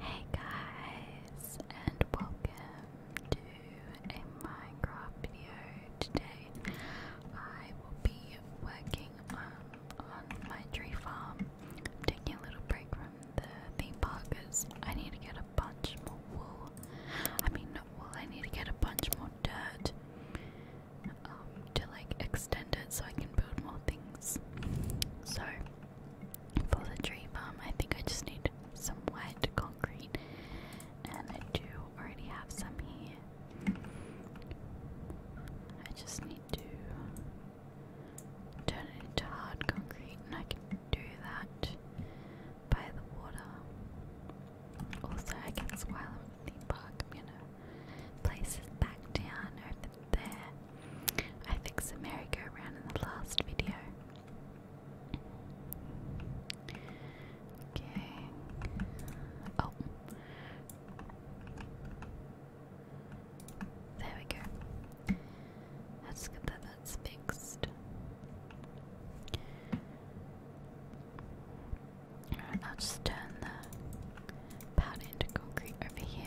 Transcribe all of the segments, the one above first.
Hey guys, and welcome to a Minecraft video. Today I will be working um, on my tree farm. taking a little break from the theme park I need to get a bunch more wool. I mean, wool, I need to get a bunch more dirt um, to like extend it so I can build more things. So, for the tree farm, I think I just need some white concrete, and I do already have some here. I just need to turn it into hard concrete, and I can do that by the water. Also, I can while i in the park, you know, place it back down over there I fixed a merry-go-round in the last video. Okay. Oh. There we go. That's good that's fixed. I'll just turn the powder into concrete over here.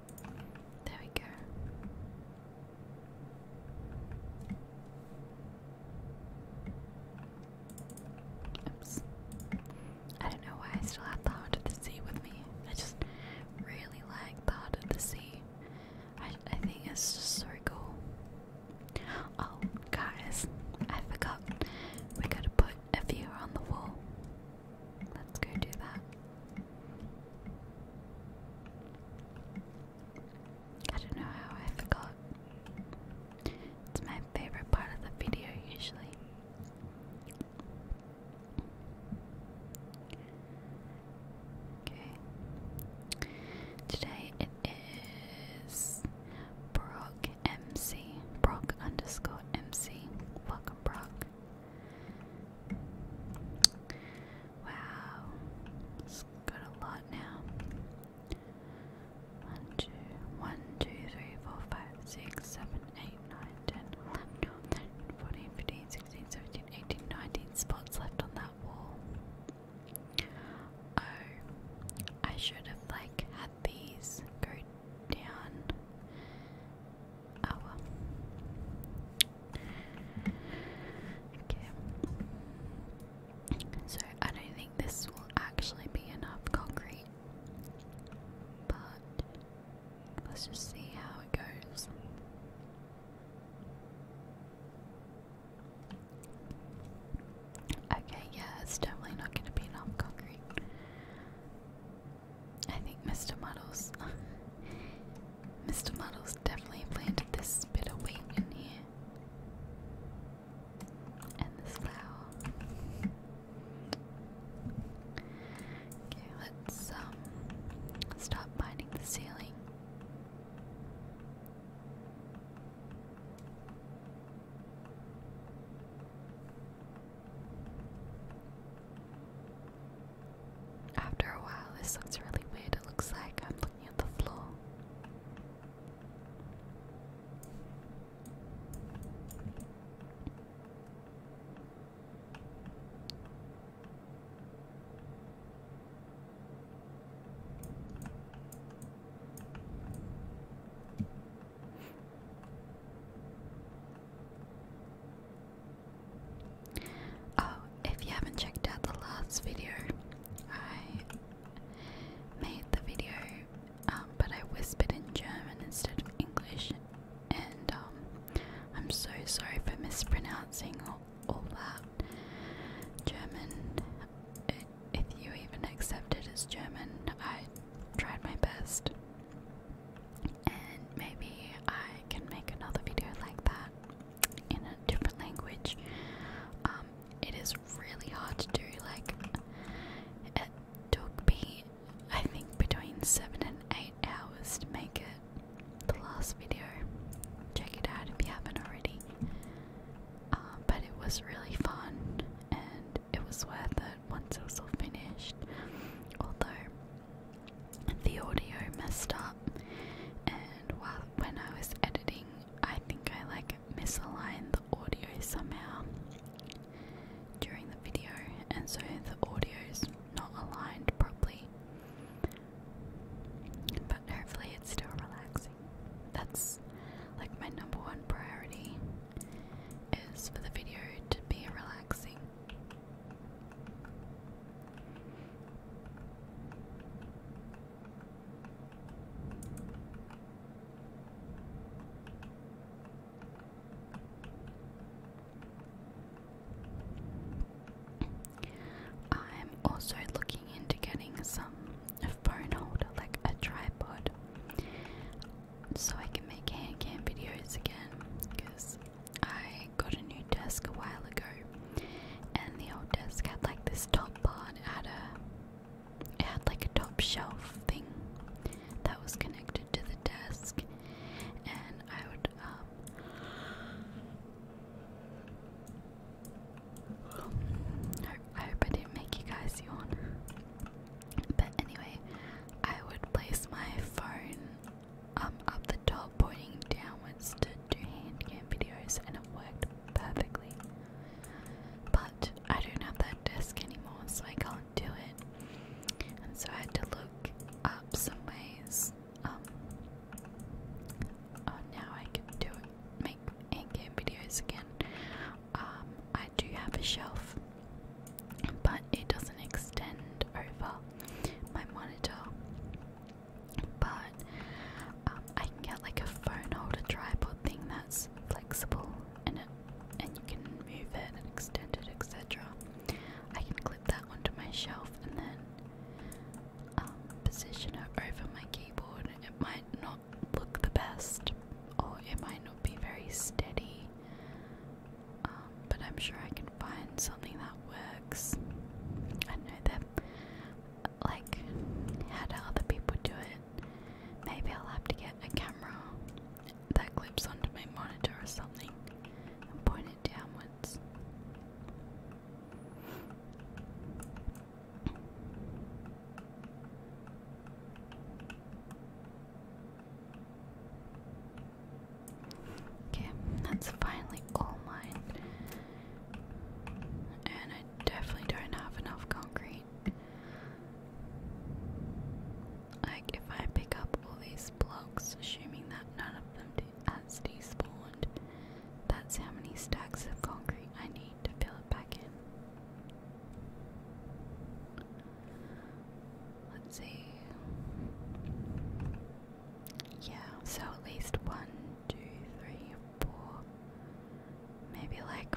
There we go. Oops. I don't know why I still have the heart of the sea with me. I just really like the heart of the sea. I, I think it's just so cool. Oh, guys, I forgot. We gotta put a viewer on the wall. Let's go do that. I don't know how I forgot. It's my favorite part of the video usually. Okay. Today it is Brock MC. Brock underscore MC. Welcome Brock. Wow, it's got a lot now. One, two, one, two, three, four, five, six, seven, eight, nine, ten, eleven, twelve, thirteen, fourteen, fifteen, sixteen, seventeen, eighteen, nineteen spots left on that wall. Oh, I should have like had these go down. Oh well. Okay. So I don't think this will actually be enough concrete, but let's just see how it goes. Okay, yeah, it's definitely not going to be enough concrete. I think Mr. Muddles, Mr. Muddles definitely planted this bit of wheat in here, and this flower. Okay, let's um, stop binding the ceiling. After a while, this looks really weird. It looks like I'm looking at the floor. Oh, if you haven't checked out the last video, I made the video, um, but I whispered in German instead of English, and um, I'm so sorry for mispronouncing all, all that. German, if you even accept it as German, I tried my best and maybe I can make another video like that in a different language. Um, it is really hard to do, like, it took me, I think, between 7 and 8 hours to make it the last video. Check it out if you haven't already. Um, but it was really fun and it was worth it once it was all finished. Although the audio messed up, and while when I was editing, I think I like misaligned the audio somehow during the video, and so the audio's not aligned properly. But hopefully, it's still relaxing. That's like my number one priority is for the video to be relaxing I'm also looking into getting some phone holder, like a tripod, so I can make hand cam videos again because I got a new desk a while ago, and the old desk had like this top part, it had a, it had like a top shelf thing that was connected to the desk, and I would um, I hope I didn't make you guys yawn. But anyway, I would place my phone um, up the top pointing downwards to do hand game videos and it worked perfectly. But I don't have that desk anymore, so I can't do it. And so I had to look up some ways. Um, oh, now I can do it, make hand game videos again. Um, I do have a shelf but it doesn't extend over my monitor. But um, I can get like a phone holder tripod thing that's flexible and it, and you can move it and extend it, etc. I can clip that onto my shelf and then um, position it over my keyboard. It might not look the best, or it might not be very steady, um, but I'm sure I can find something that works. I know that, like, how do other people do it? Maybe I'll have to get a camera that clips onto my monitor or something and point it downwards. Okay, that's finally all mine. And I definitely don't have enough concrete. Like, if I pick up all these blocks, assuming that none of them has despawned, that's how many stacks of concrete I need to fill it back in. Let's see. Yeah, so at least one, two, three, four, maybe like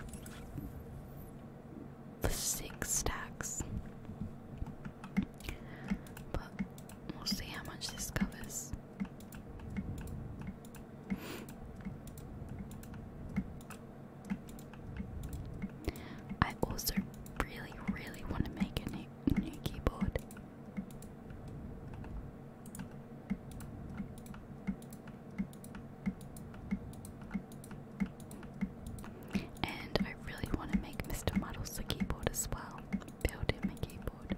six stacks. But we'll see how much this covers. I also really, really want to make a new, new keyboard. And I really want to make Mr. Models a keyboard as well. Build him a keyboard.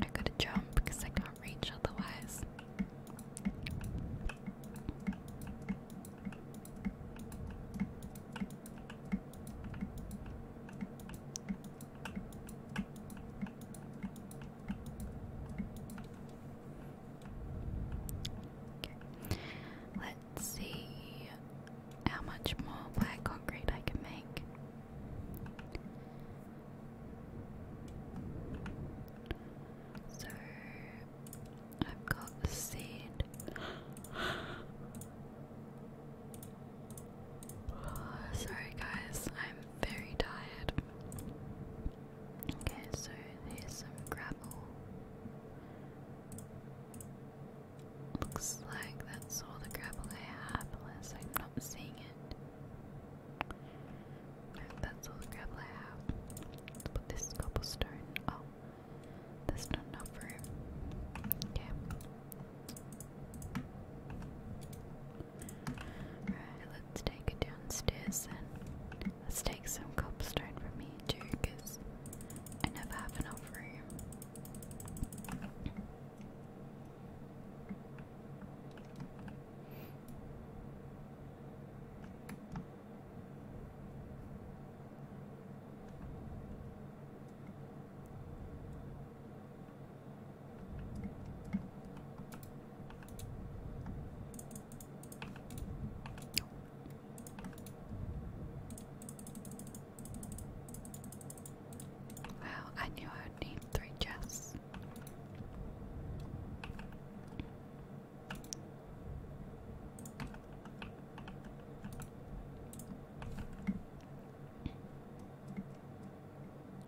I gotta jump because I can't reach otherwise. Let's see how much more black concrete I can make. So I've got the seed. sorry, guys, I'm very tired. Okay, so here's some gravel. Looks like that's all the gravel I have, unless I'm not seeing it. that's all the gravel I have. Let's put this cobblestone. Oh, there's not enough room. Okay. Right, let's take it downstairs then. Let's take some cobblestone from me too, because I never have enough for you. Well, I knew I would need three chests.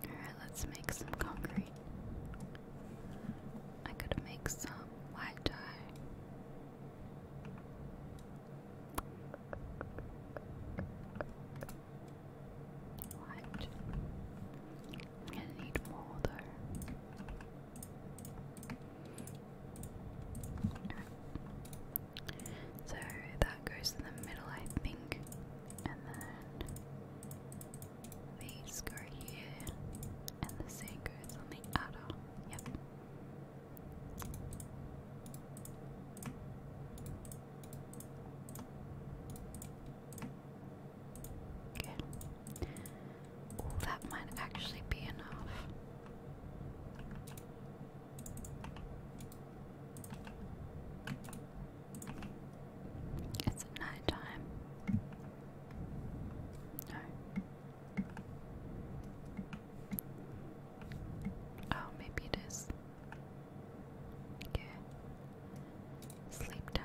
Alright, let's make some concrete. I could make some white dye. White. I'm gonna need more though. So that goes in the middle, I think and then these go here, and the same goes on the other. Yep. Okay. Oh, that might actually be enough. It's at No. Oh, maybe it is. Okay. Sleep time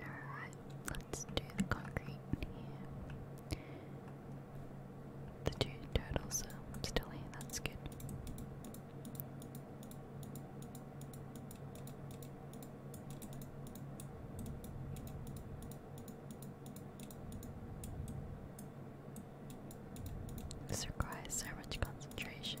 Alright, let's do the concrete here. The two turtles still here, that's good. This so much concentration.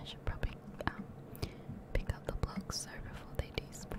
I should probably um, pick up the blocks so before they despawn.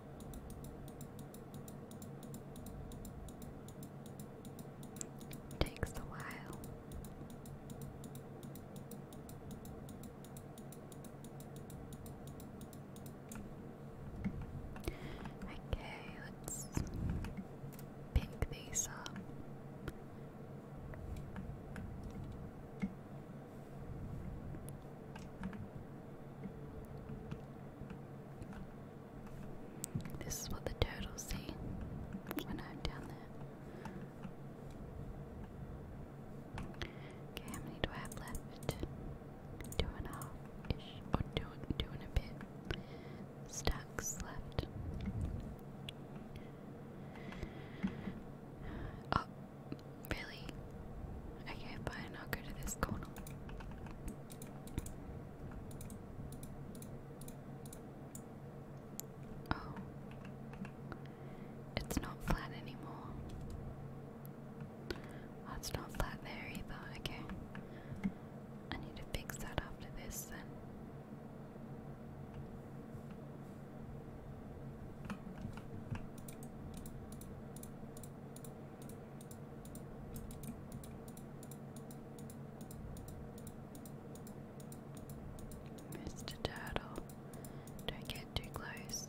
Takes a while. Okay, let's pick these up. This is what the turtles see when I'm down there. Okay, how many do I have left? Two and a half or two, two and a bit stacks left. Oh, Really? Okay, fine, I'll go to this corner. Oh. It's not flat anymore. Oh, not flat there either. Okay. I need to fix that after this Mr. Turtle, don't get too close.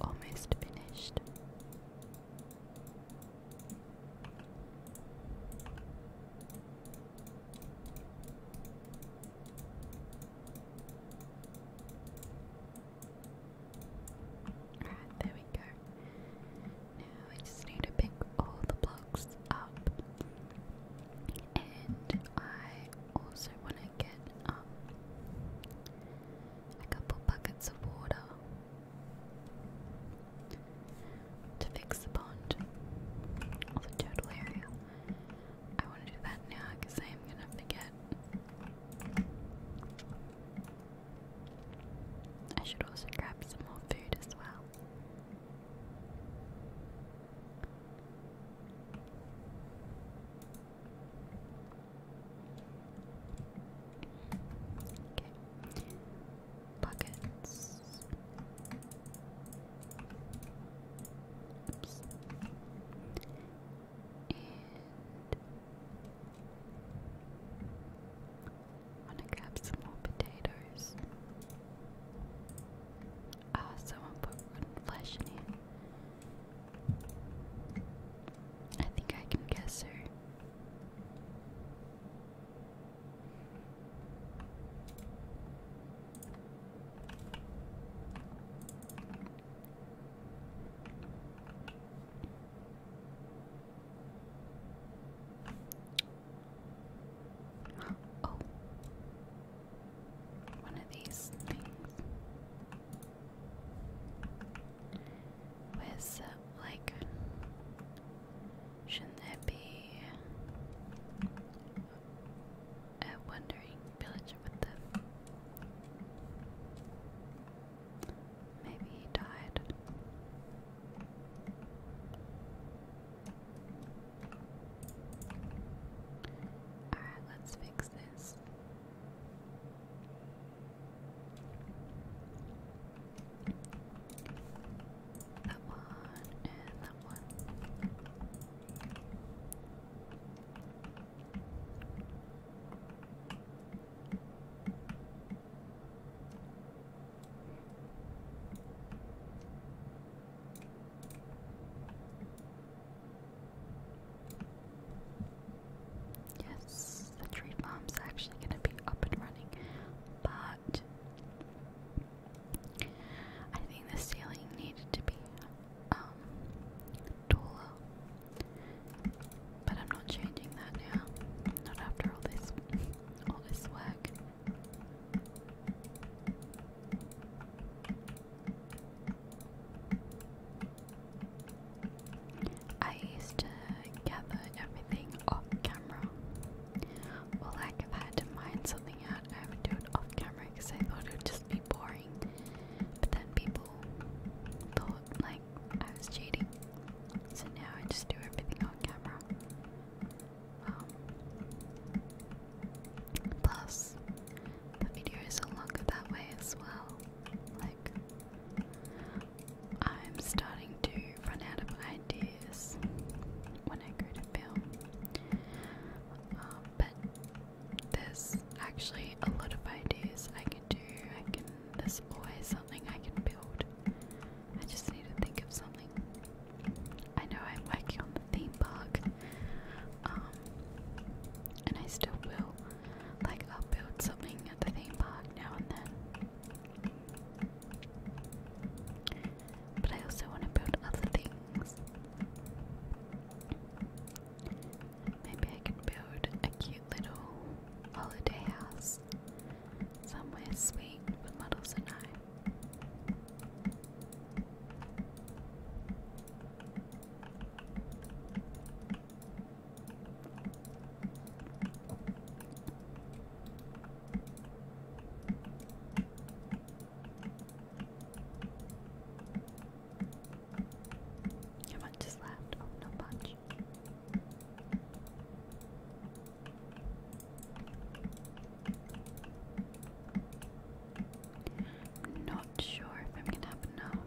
Almost finished. Alright, there we go. Now I just need to pick all the blocks up and I also want to get um, a couple buckets of water to fix the pond or the turtle area. I want to do that now because I am going to forget. I should also grab some more food as well. Okay. Buckets. to grab some more potatoes. Ah, someone put rotten flesh in here. I think I can guess her. Oh, one of these things with uh, like shouldn't there be a wandering villager with them? Maybe he died. Alright, let's fix this. That one and that one. Yes, the tree farm's actually going to be up and running, but I think the ceiling needed to be um, taller. But I'm not changing that now. Not after all this all this work. I used to gather everything off camera. Well, like if I had to mine something out, I would do it off camera because I thought it would just be boring. But then people thought like I was cheating. So now I just do everything on camera plus, the videos are longer that way as well. Like, I'm starting to run out of ideas when I go to film. Um, but there's actually a lot of ideas I can do. I can, there's always something I can build. I just need to think of something. I know I'm working on the theme park, um, and I still will. Like, I'll build something at the theme park now and then. But I also want to build other things. Maybe I can build a cute little holiday house somewhere sweet with models and I. How much is left? Oh, not much. I'm not sure if I'm gonna have enough.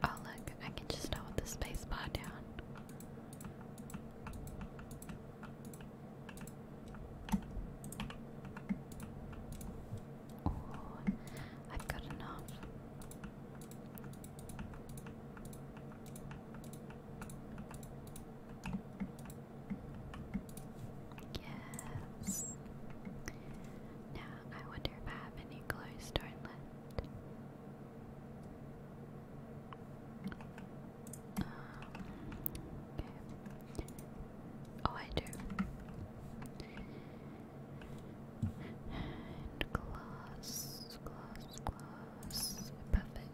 Oh look, I can just hold the space bar down. Oh, I've got enough. Yes. Now I wonder if I have any clothes store left. Um, okay. Oh, I do. And glass, glass, glass. Perfect.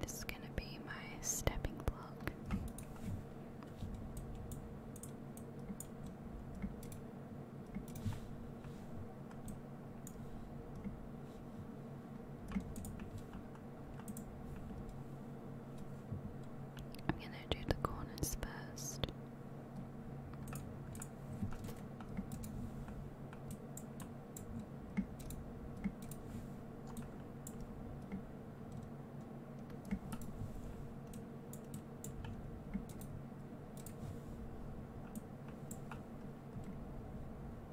This is going to be my stepping block. I'm going to do the corners first.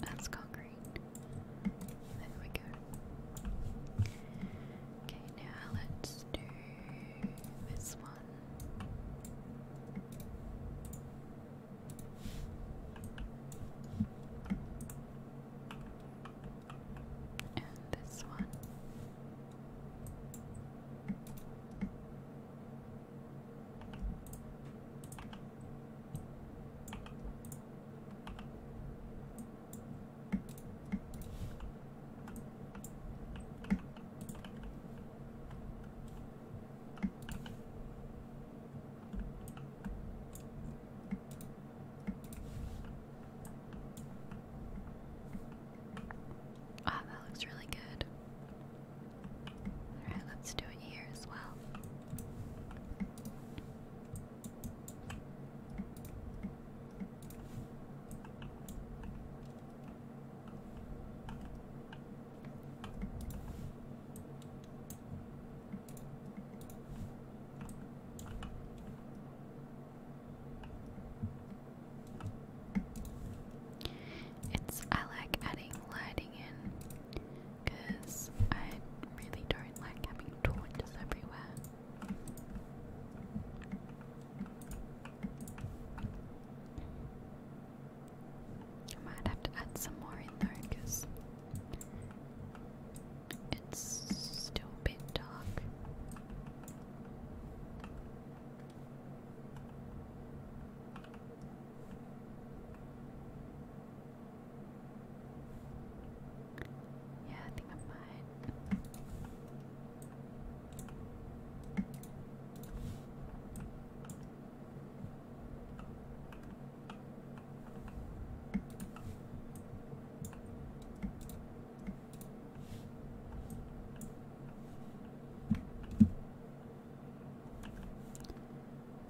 that's concrete. There we go. Okay, now let's do this one. And this one. Ah, that looks really good. Alright, let's do it here as well. It's I like adding lighting in because I really don't like having torches everywhere. I might have to add some more in though, because it's still bit dark. Yeah, I think I'm fine.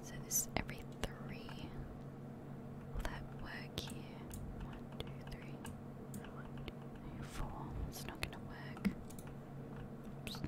So this is every three. Will that work here? One, two, three. It's not gonna work. Oops.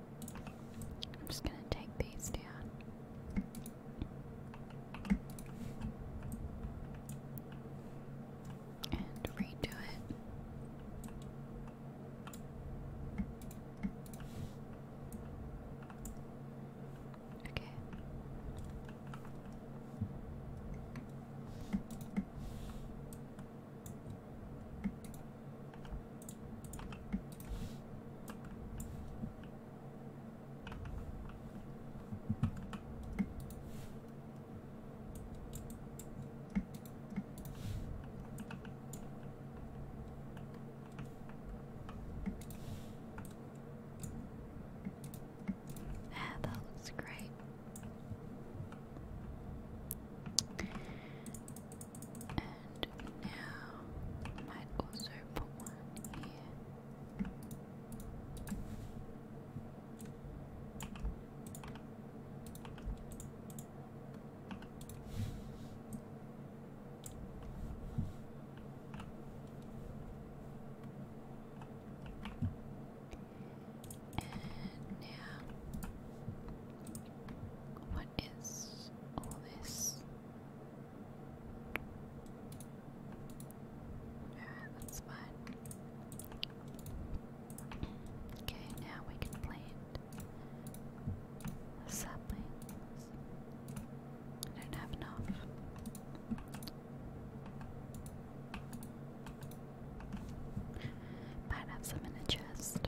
I'm just gonna take these down. And redo it. Okay. Ah, that looks great. And now I might also put one here. And now, what is all this? Alright, that's fine. Okay, now we can plant the saplings. I don't have enough. Might have some in a chest.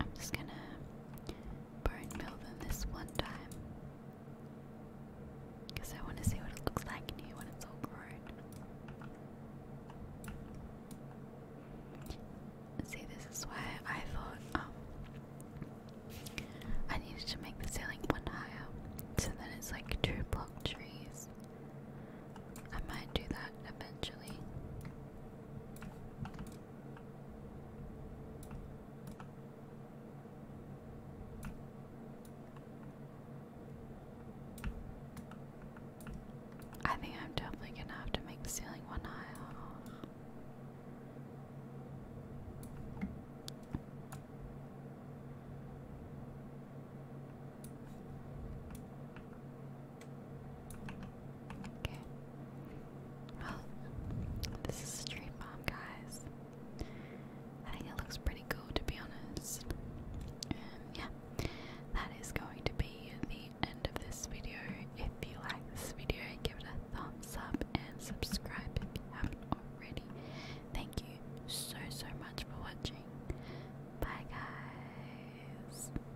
I'm just gonna burn build Melvin this one time. Because I want to see what it looks like new when it's all grown. See, this is why I thought um, I needed to make the ceiling one higher. So that it's like two block trees. I might do that eventually. I think I'm definitely gonna have to make the ceiling one high Okay. Well, this is a stream bomb, guys. I think it looks pretty cool, to be honest. And yeah, that is going to be the end of this video. If you like this video, give it a thumbs up and subscribe if you haven't already. Thank you so, so much for watching. Bye, guys.